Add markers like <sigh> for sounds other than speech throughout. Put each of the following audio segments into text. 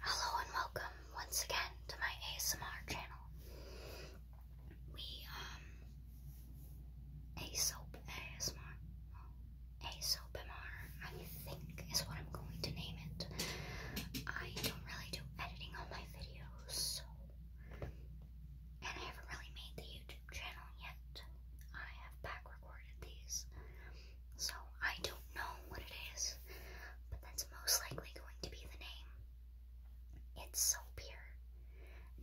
Hello and welcome once again to my ASMR channel. We, um, ASOAP ASMR, ASOAPMR, I think is what I'm going to name it. I don't really do editing on my videos, and I haven't really made the YouTube channel yet. I have back recorded these. So I don't know what it is, but that's most likely going to be the name. It's soap here.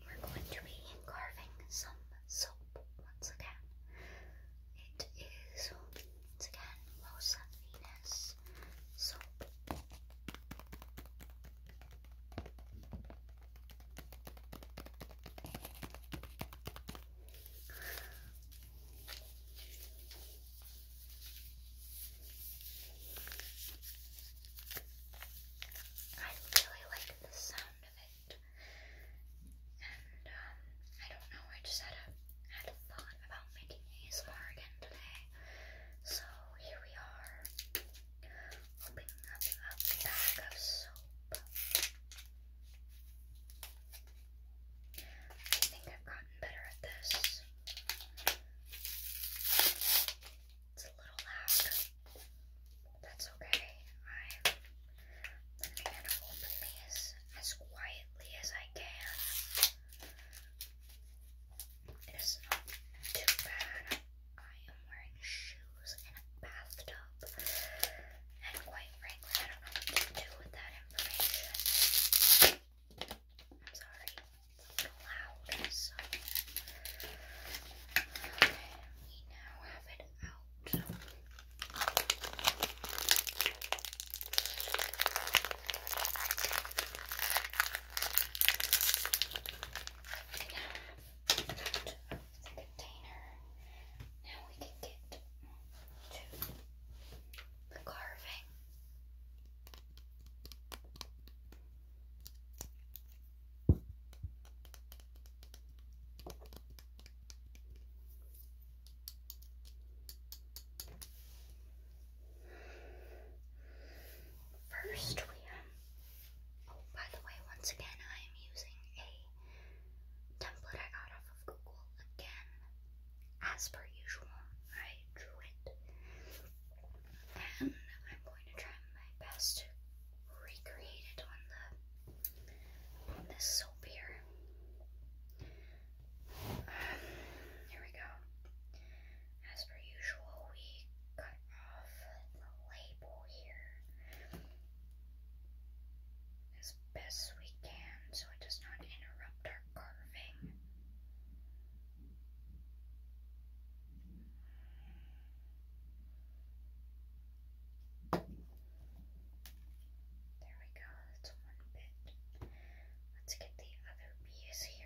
we're going to be carving some soap once again. It is once again Los Venus soap. I really like the sound of it. And um, I don't know, I just had a had a thought about making ASMR again today. So here we are opening up a bag of soap. I think I've gotten better at this. It's a little loud. That's okay. I'm gonna open these as quietly as I can. It is not too bad. I am wearing shoes in a bathtub. And quite frankly, I don't know what to do with that information. I'm sorry, it's loud, so. we now have it out. We have the container. Now we can get to the carving. First, we um. Oh, by the way, once again, I am using a template I got off of Google again as per usual, I drew it. And I'm going to try my best to recreate it on the this soap here. Um, here we go. As per usual, we cut off the label here as best we can so it does not interrupt our carving. There we go, that's one bit. Let's get the other piece here.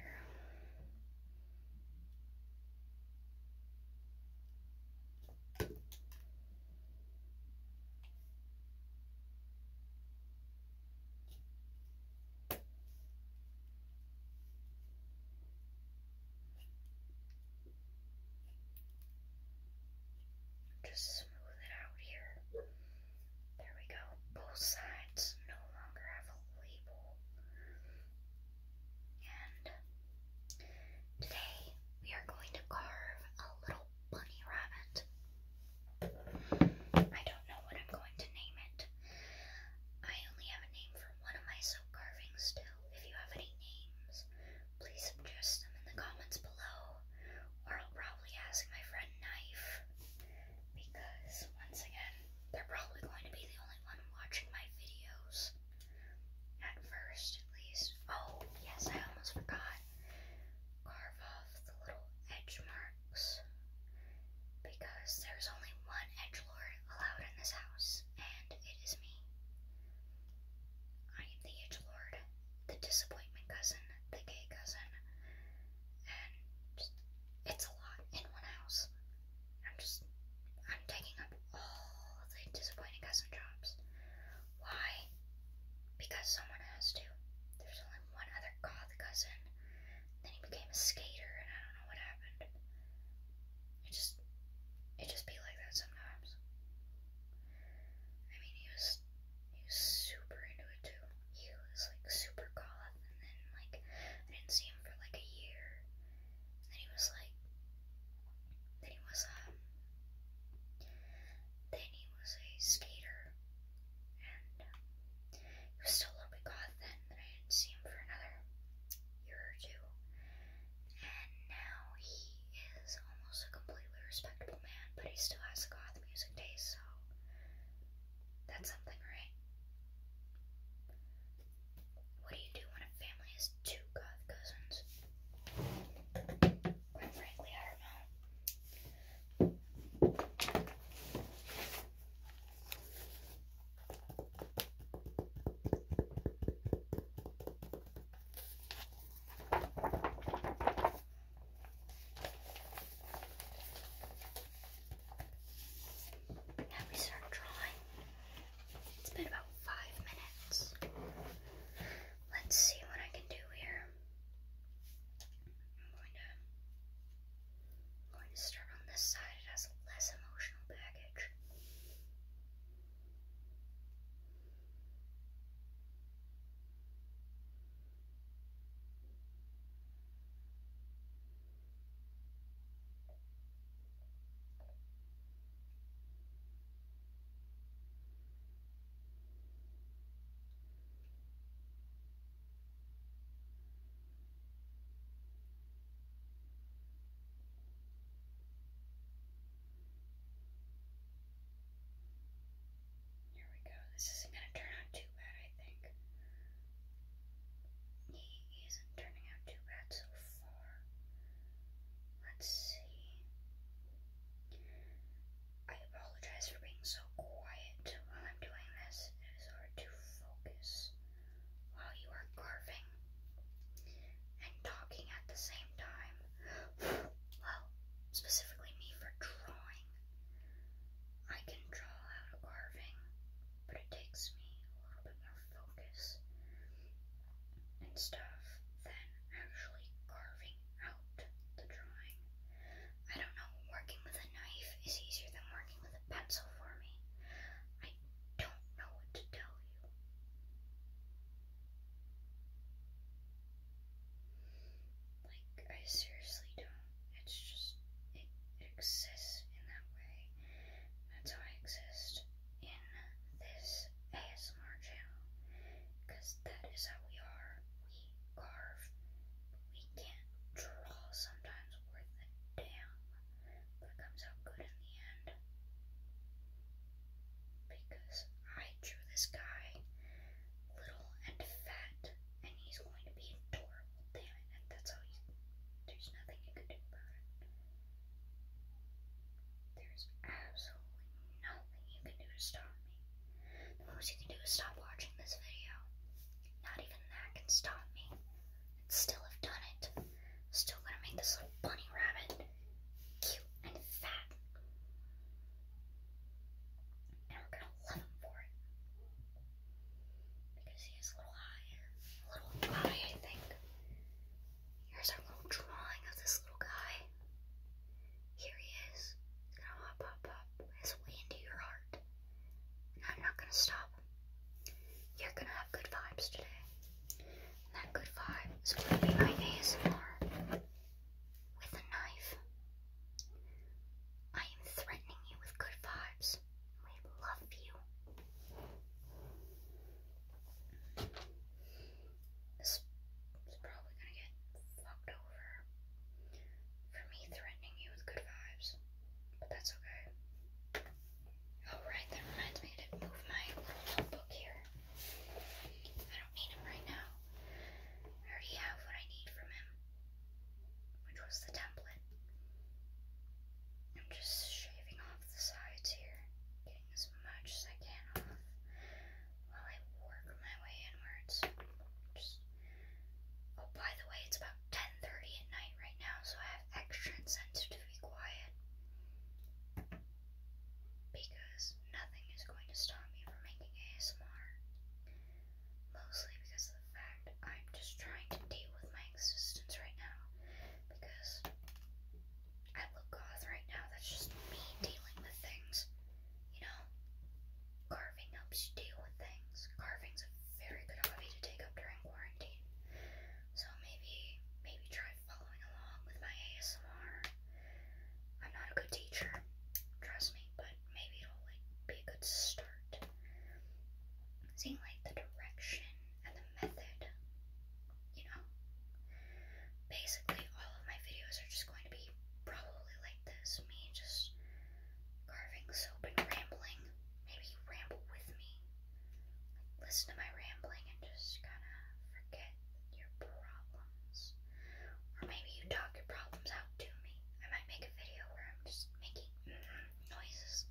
Just smooth it out here. There we go. Both sides no longer have a label. And today we are going to carve a little bunny rabbit. I don't know what I'm going to name it. I only have a name for one of my silk carvings still. If you have any names, please suggest them in the comments below, or I'll probably ask my friend Knife, because once again, they're probably going to be the only one watching my videos. At first, at least. Oh, yes, I almost forgot carve off the little edge marks because there's only one edge lord allowed in this house, and it is me. I am the edge lord, the disappointment cousin, the gay cousin, and it's a lot in one house. I'm just I'm taking up all the disappointing cousin jobs. Why? Because someone has to. There's only one other goth cousin. Then he became a skater, and I don't know what happened. It just, it just be like that sometimes. I mean, he was, he was super into it too. He was like super goth, and then like I didn't see him for like a year. And then he was like, then he was um, then he was a skater, and uh, he was still a little bit goth then, but I didn't see him for another year or two, and now he is almost a completely respectable man, but he still has a goth music taste, so that's something, right? What do you do when a family has two goth cousins? Quite frankly, I don't know. Now we start drawing. It's been about five minutes. Let's see what I can do here. I'm going to, start on this side. It has less emotional baggage. Here we go. This isn't going to turn out too bad, I think. He isn't turning out too bad so far. Let's see. I apologize for being so quiet while I'm doing this. It is hard to focus while you are carving and talking at the same time. <sighs> Well, specifically me for drawing. I can draw out a carving, but it takes me a little bit more focus and stuff than actually carving out out the drawing. I don't know, working with a knife is easier than working with a pencil for me. I don't know what to tell you. Like, I seriously don't. It's just, it, exists in that way. That's how I exist in this ASMR channel. Because that is how we are carve. We can't draw sometimes worth a damn, but comes out good in the end. Because I drew this guy little and fat, and he's going to be adorable, damn it, and that's all there's nothing you can do about it. There's absolutely nothing you can do to stop me. The most you can do is stop watching this video. Not even that can stop me. still have done it. still gonna make this little bunny rabbit cute and fat. And we're gonna love him for it. Because he has a little eye. A little eye, I think. Here's our little drawing of this little guy. Here he is. He's gonna hop, hop, hop his way into your heart. I'm not gonna stop You're gonna have good vibes today. that good vibe is gonna be my ASMR with a knife. I am threatening you with good vibes. We love you. This is probably gonna get fucked over for me threatening you with good vibes, but that's okay. Alright, oh, that reminds me to move my little notebook here. I don't need him right now. I already have what I need from him, which was the template. I'm just shaving off the sides here, getting as much as I can off while I work my way inwards. Just... Oh, by the way, it's about 10.30 at night right now, so I have extra incentive to be quiet. Because nothing is going to stop me from making ASMR. Mostly because of the fact I'm just trying to deal with my existence right now. Because I look goth right now, that's just me dealing with things you know, carving helps you deal with things. Carving's a very good hobby to take up during quarantine. So maybe, maybe try following along with my ASMR. I'm not a good teacher, trust me, but maybe it'll like be a good start. Seeing like the direction and the method, you know. Basically, all of my videos are just going to be probably like like this, me just carving soap and rambling. Maybe you ramble with me. listen to my rambling and just kind of forget your problems. Or maybe you talk your problems out to me. I might make a video where I'm just making mm-hmm, noises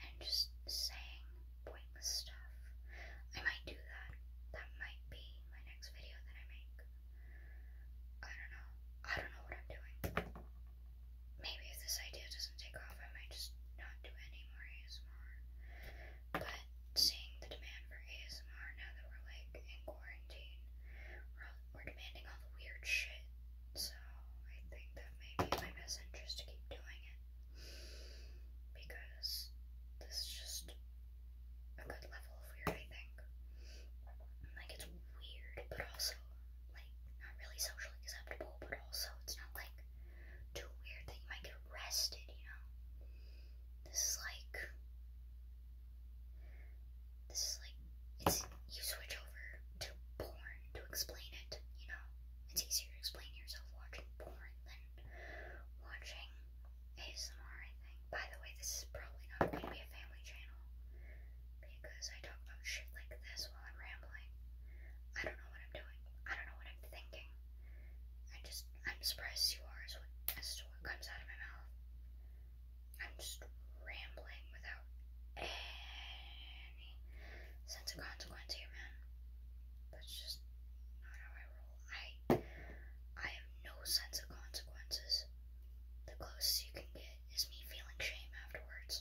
and just saying pointless stuff. I might do that. That might be my next video that I make. I don't know. I don't know what I'm doing. Maybe if this idea doesn't take off, I might just not do any ASMR. But seeing the demand for ASMR now that we're like in quarantine, we're, we're demanding all the weird shit. So I think that may be my best interest to keep doing it. Because this just a good level of weird, I think. Like, it's weird, but also, like, not really socially acceptable, but also, it's not like too weird that you might get arrested, you know? This is like. This is like. It's, you switch over to porn to explain it, you know? It's easier to explain yourself watching porn than watching ASMR, I think. By the way, this is probably not going to be a family channel because I talk about shit like this while I'm rambling. I don't know what I'm doing. I don't know what I'm thinking. I just, I'm surprised you are as, to what comes out of my mouth. I'm just rambling without any sense of consequence here, man. That's just not how I roll. I I have no sense of consequences. The closest you can get is me feeling shame afterwards.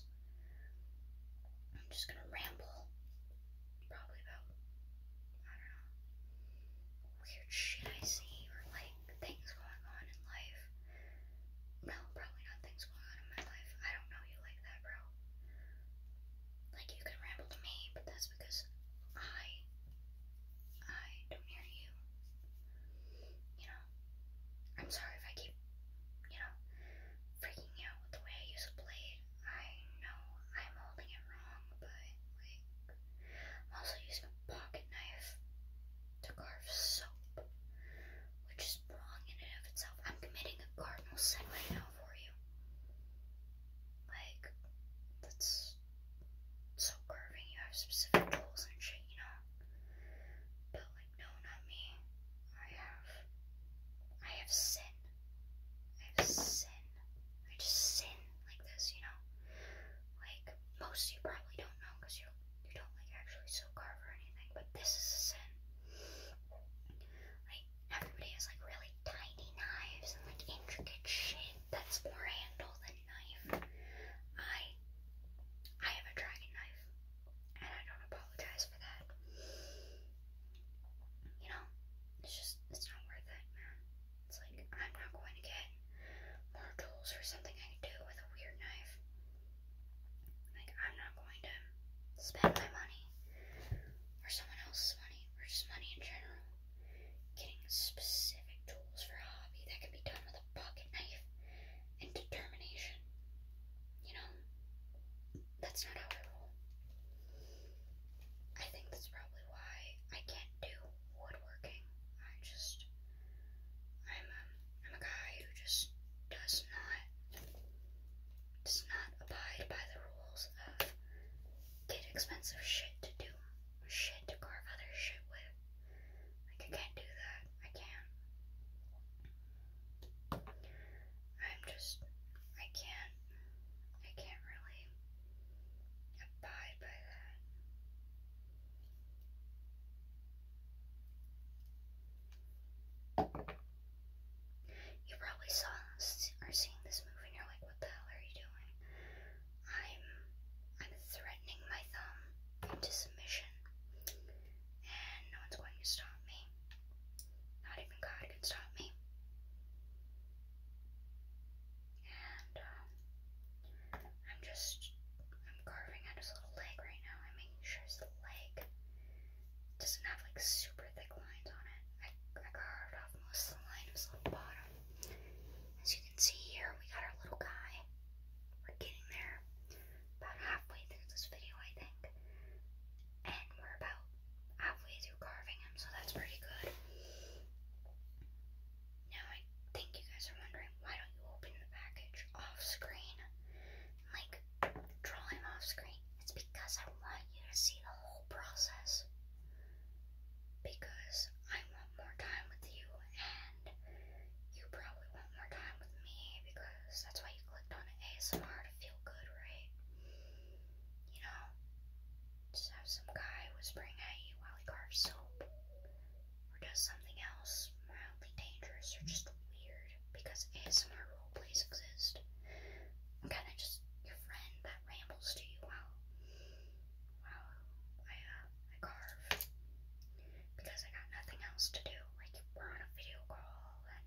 I'm just gonna ramble. Probably about I don't know weird shit I see or like things going on in life. No, probably not things going on in my life. I don't know you like that, bro. Like you can ramble to me, but that's because I I don't hear you. You know, I'm sorry if I keep, you know, freaking out with the way I use a blade. I know I'm holding it wrong, but, like, I'm also using a pocket knife to carve soap, which is wrong in and of itself. I'm committing a cardinal sin right now for you. Like, that's so curving, you have specific tools and shit, you know. But like, no, not me. I have, I have sin. I have sin. I just sin like this, you know. Like most you probably don't know because you you don't like actually still carve or anything, but this is sin. Like everybody has like really tiny knives and like intricate shit that's more handle than knife. I I have a dragon knife and I don't apologize for that. You know, it's just it's not worth it, man. It's like I'm not going to get more tools or something I can do with a weird knife. Like I'm not going to spend my money or someone else's money or just money in general Getting specific tools for a hobby that can be done with a pocket knife and determination. You know, that's not how I roll. I think that's probably why I can't do woodworking. I just, I'm a, um, I'm a guy who just does not, does not abide by the rules of get expensive shit to do shit to carve other shit with. Like, I can't do that. I can't. I'm just, I can't, I can't really abide by that. You probably saw or seen this movie and you're like, what the hell are you doing? I'm I'm threatening my thumb into submission, and no one's going to stop me. Not even God can stop me. And um, I'm just I'm carving out his little leg right now. I'm making sure his leg doesn't have like super thick lines on it. I carved off most of the line of his little bottom you see here, we got our little guy. We're getting there. About halfway through this video, I think. And we're about halfway through carving him, so that's pretty good. Now, I think you guys are wondering, why don't you open the package off screen? Like, draw off screen. It's because I want you to see the whole process because I want more time with you and you probably want more time with me because that's why you clicked on ASMR to feel good, right? You know, just have some guy whispering at you while he carves soap or does something else mildly dangerous or just weird because ASMR roleplays exist. I'm kind of just your friend that rambles to you while Wow, I uh, I carve because I got nothing else to do. Like we're on a video call and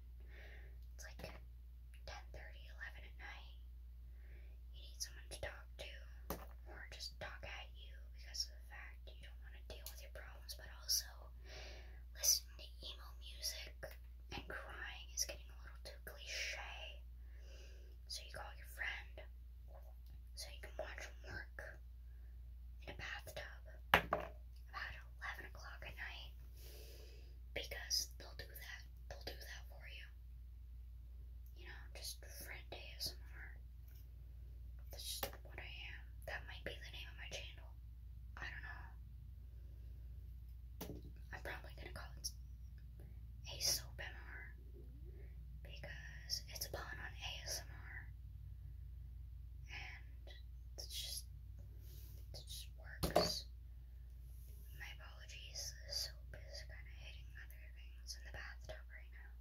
it's like 10, 30, 11 at night. You need someone to talk to or just talk at you because of the fact you don't want to deal with your problems, but also listening to emo music and crying is getting a little too cliche so you call your friend, so you can watch him work in a bathtub about 11 o'clock at night because they'll do that. They'll do that for you. You know, just friend ASMR. That's just what I am. That might be the name of my channel. I don't know. I'm probably gonna call it a soap MR because it's a pun on ASMR, and it just it just works. My apologies, the soap is kind of hitting other things in the bathtub right now,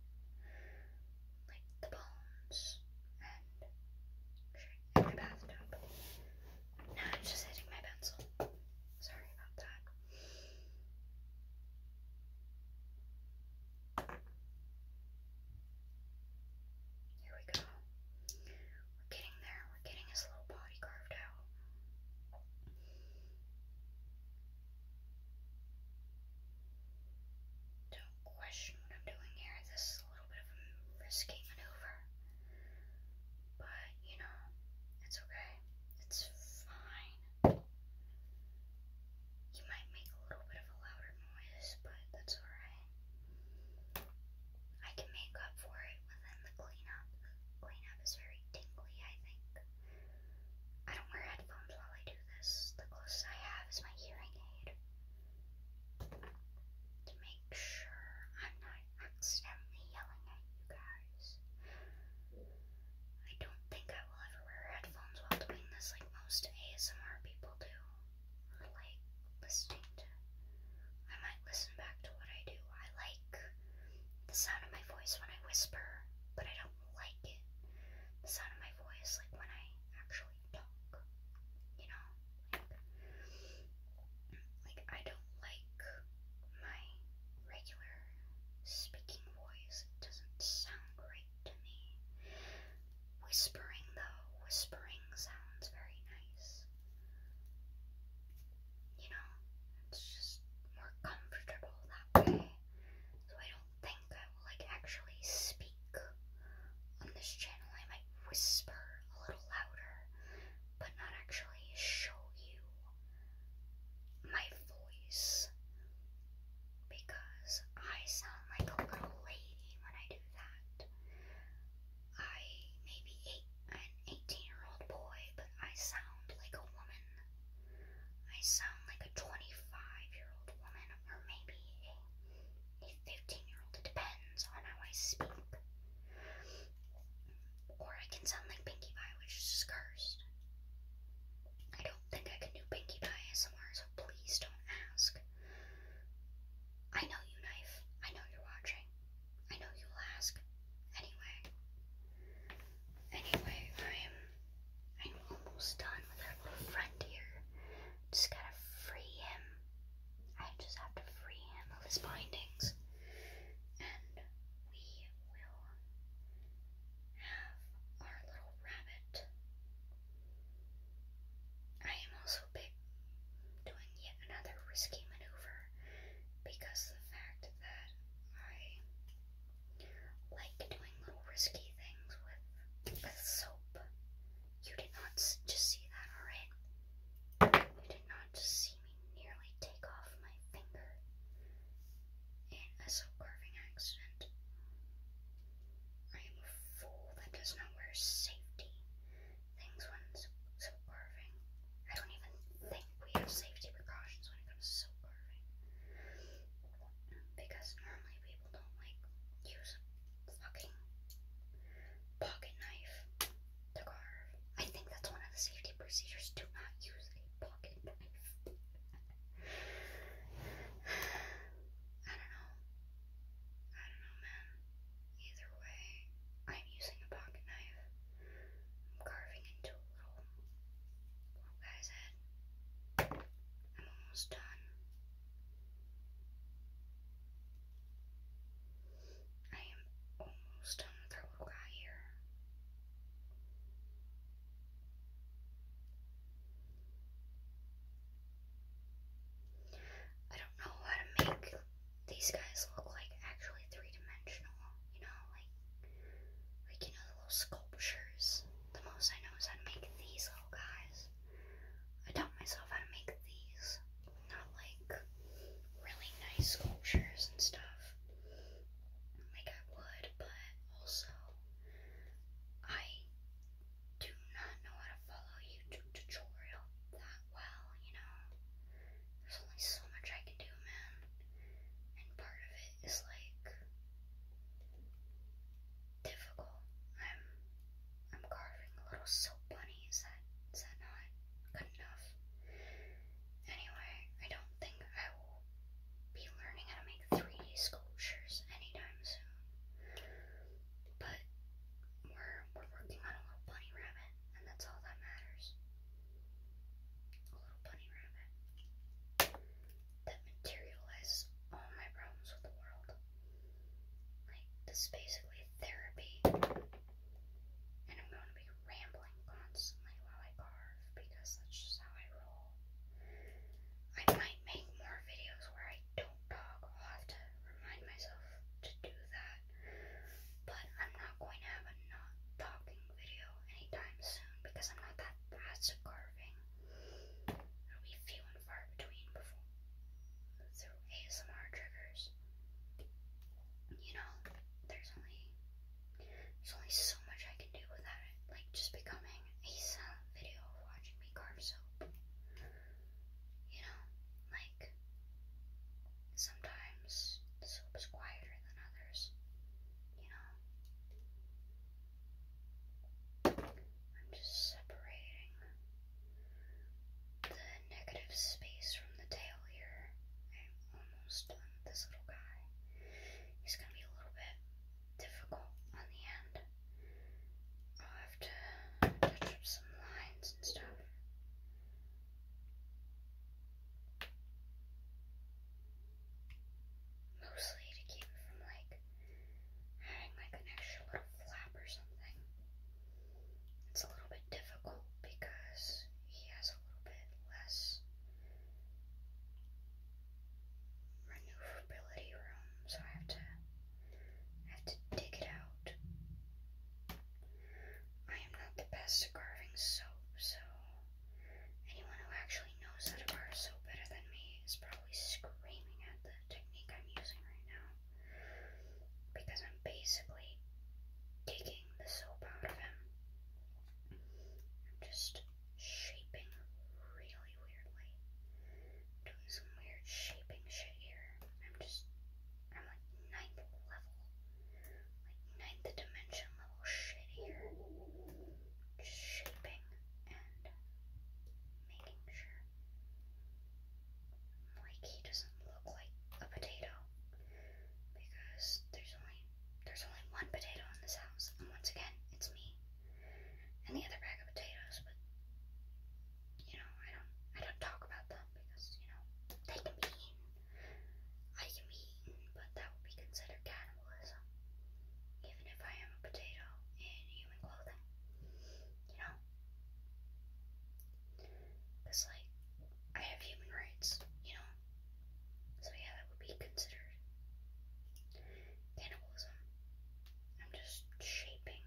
like the bones and in bathtub. Now it's just hitting my pencil. Sorry about that. Here we go. We're getting there. We're getting his little body carved out. Don't question what I'm doing here. This is a little bit of a risky maneuver. But, you know, it's okay. It's fine. You might make a little bit of a louder noise, but that's alright. I can make up for it within the cleanup. The cleanup is very tingly, I think. I don't wear headphones while I do this. The closest I have is my hearing aid. To make sure I'm not accidentally yelling at you guys guys. I don't think I will ever wear headphones while doing this like most ASMR people do. Or like listening to. I might listen back to what I do. I like the sound of my voice when I whisper, but I don't like it. The sound of my voice like when I actually talk. You know? Like, like I don't like my regular speaking voice. It doesn't sound great to me. Whispering, though, whispering sounds very nice. You know, it's just more comfortable that way. So I don't think I will like actually speak on this channel. I might whisper a little louder, but not actually show you my voice because I sound like a little lady when I do that. I may an 18 year old boy, but I sound like a woman. I sound like a 25 year old woman, or maybe a 15 year old. It depends on how I speak. Or I can sound like Pinkie Pie, which is cursed. I don't think I can do Pinkie Pie ASMR, so please don't ask. I know you, Knife. I know you're watching. I know you'll ask. Anyway. Anyway, I'm I'm almost done with our little friend here. Just gotta free him. I just have to free him of his bindings. And we will have our little rabbit. I am also big doing yet another risky maneuver because the fact that I like doing little risky things with, with soap. You did not just see that, alright? You did not just see nearly take off my finger in a silk carving accident. I am a fool that does not wear safety things when silk carving. I don't even think we have safety precautions when it comes to silk carving. Because normally people don't like use a fucking pocket knife to carve. I think that's one of the safety procedures. Do not use pocket knife. I don't know. I don't know, man. Either way, I'm using a pocket knife. I'm carving into a little, little guy's head. I'm almost done. I am almost done with our little guy here. I don't know how to make these guys look like actually three-dimensional, you know, like like you know the little sculptures. The most I know is how to make these little guys. I taught myself how to make these, not like really nice sculptures and stuff like I would, but also I do not know how to follow YouTube tutorial that well, you know. There's only so much I can do, man. And part of it is like difficult. I'm I'm carving little soap bunnies. Is that is that not good enough? Anyway, I don't think I will be learning how to make 3D sculptures anytime soon. But we're, we're working on a little bunny rabbit, and that's all that matters. A little bunny rabbit that materializes all my problems with the world. Like, this is basically therapy. And I'm going to be rambling constantly while I carve because that's just how I roll. I might make more videos where I don't talk. I'll to remind myself to do that. But I'm not going to have a not talking video anytime soon because I'm not that fast at carving. it few and far between before through ASMR triggers. You know, there's only there's only so much I can do without it, like just becoming a silent video of watching me carve soap. You know, like sometimes the soap is quieter than others. You know, I'm just separating the negative space from the tail here. I'm almost done this little guy. He's gonna be a little bit difficult on the end. I'll have to touch up some lines and stuff. Mostly to keep it from like having like an extra little flap or something. It's a little bit difficult because he has a little bit less maneuverability room, so I have to I have to dig it out. I am not the best at carving soap, so anyone who actually knows how to carve soap better than me is probably screaming at the technique I'm using right now. Because I'm basically digging the soap out of him. I'm just shaping really weirdly. doing some weird shaping shit here. I'm just, I'm like ninth level, like ninth dimension level shit here. shaping and making sure. Like he doesn't look like a potato because there's only there's only one potato in this house, and once again, it's me and the other bag of potatoes. But you know, I don't, I don't talk about them because you know they can be I can be but that would be considered cannibalism, even if I am a potato in human clothing. You know, because like I have human rights. You know, so yeah, that would be considered cannibalism. I'm just shaping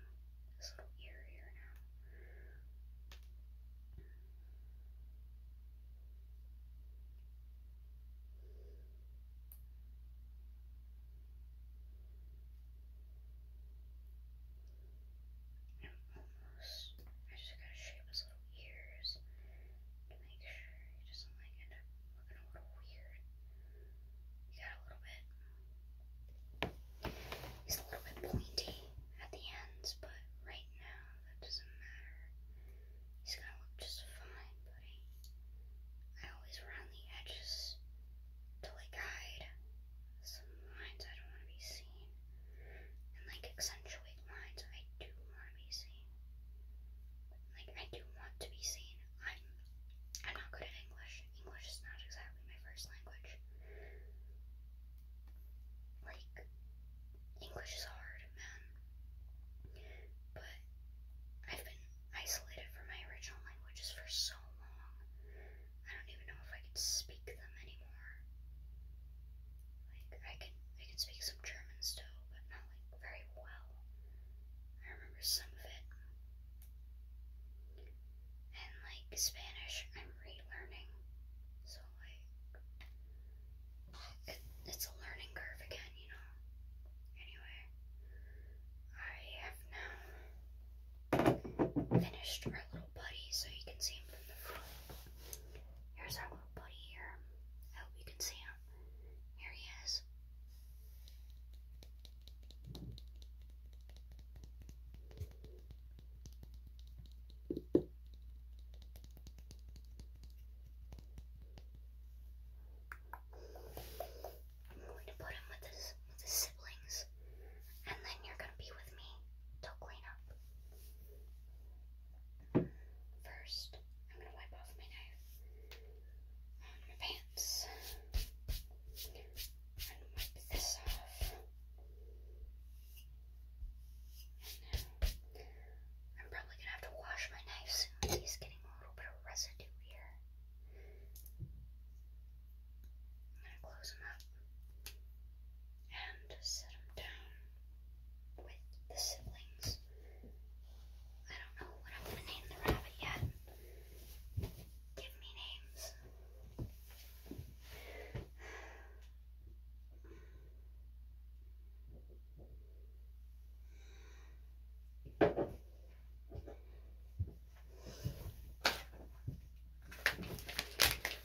this little ear here now. I'm almost. I just gotta shape this little ears to make sure he doesn't like end up looking a little weird. He got a little bit. He's a little bit pointy at the ends, but right now that doesn't matter. He's gonna look just fine, But I always round the edges to like hide some lines I don't want to be seen and like accentuate with I do want to be seen. Like I do want to be seen. I'm I'm not good at English. English is not exactly my first language. Like English is hard, man. But I've been isolated from my original languages for so long. I don't even know if I could speak them anymore. Like I can I can speak some German still, but not like very well. I remember some of it. And like Spanish I'm relearning. So like it's a learning curve again, you know. Anyway, I have now finished our little buddy so you can see him from the front. Here's our buddy here. I hope you can see him. Here he is. I'm going to put him with his siblings, and then you're gonna be with me till clean up. First, I'm going to wipe off my knife on um, my pants and wipe this off. I'm probably going to have to wash my knife soon. He's getting a little bit of residue here. I'm going to close them up and set him down with the siblings. I don't know what I'm going to name the rabbit yet. Give me names. I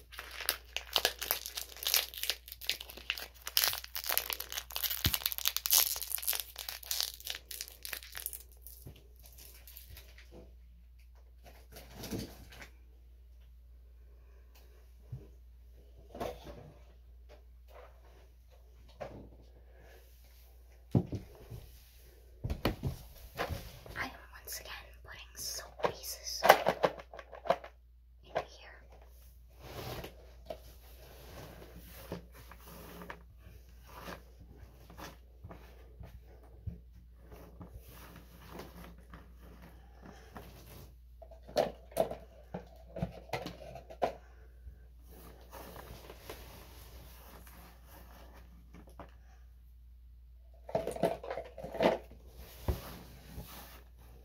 am once again putting soap pieces in here.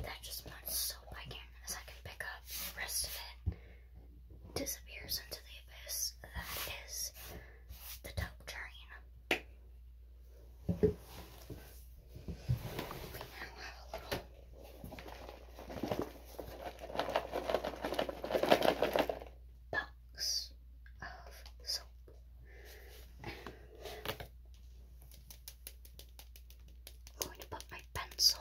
That just melts soap I as I can pick up the rest of it disappears into the abyss that is the dope train box of soap. I'm going to put my pencil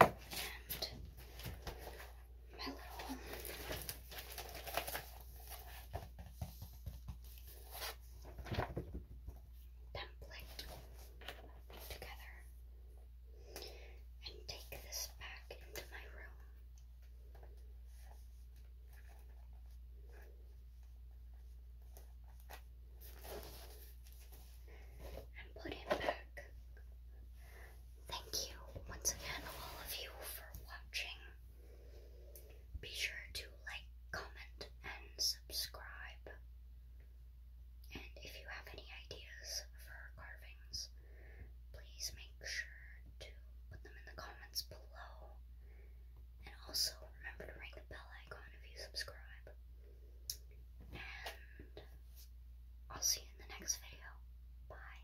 and my little template together and take this back into my room. And put it back. Thank you once again, all of you, for watching. Be sure to like, comment, and subscribe. And if you have any ideas for carvings, please make sure to put them in the comments below. And also remember to ring the bell icon if you subscribe. And I'll see you in the next video. Bye.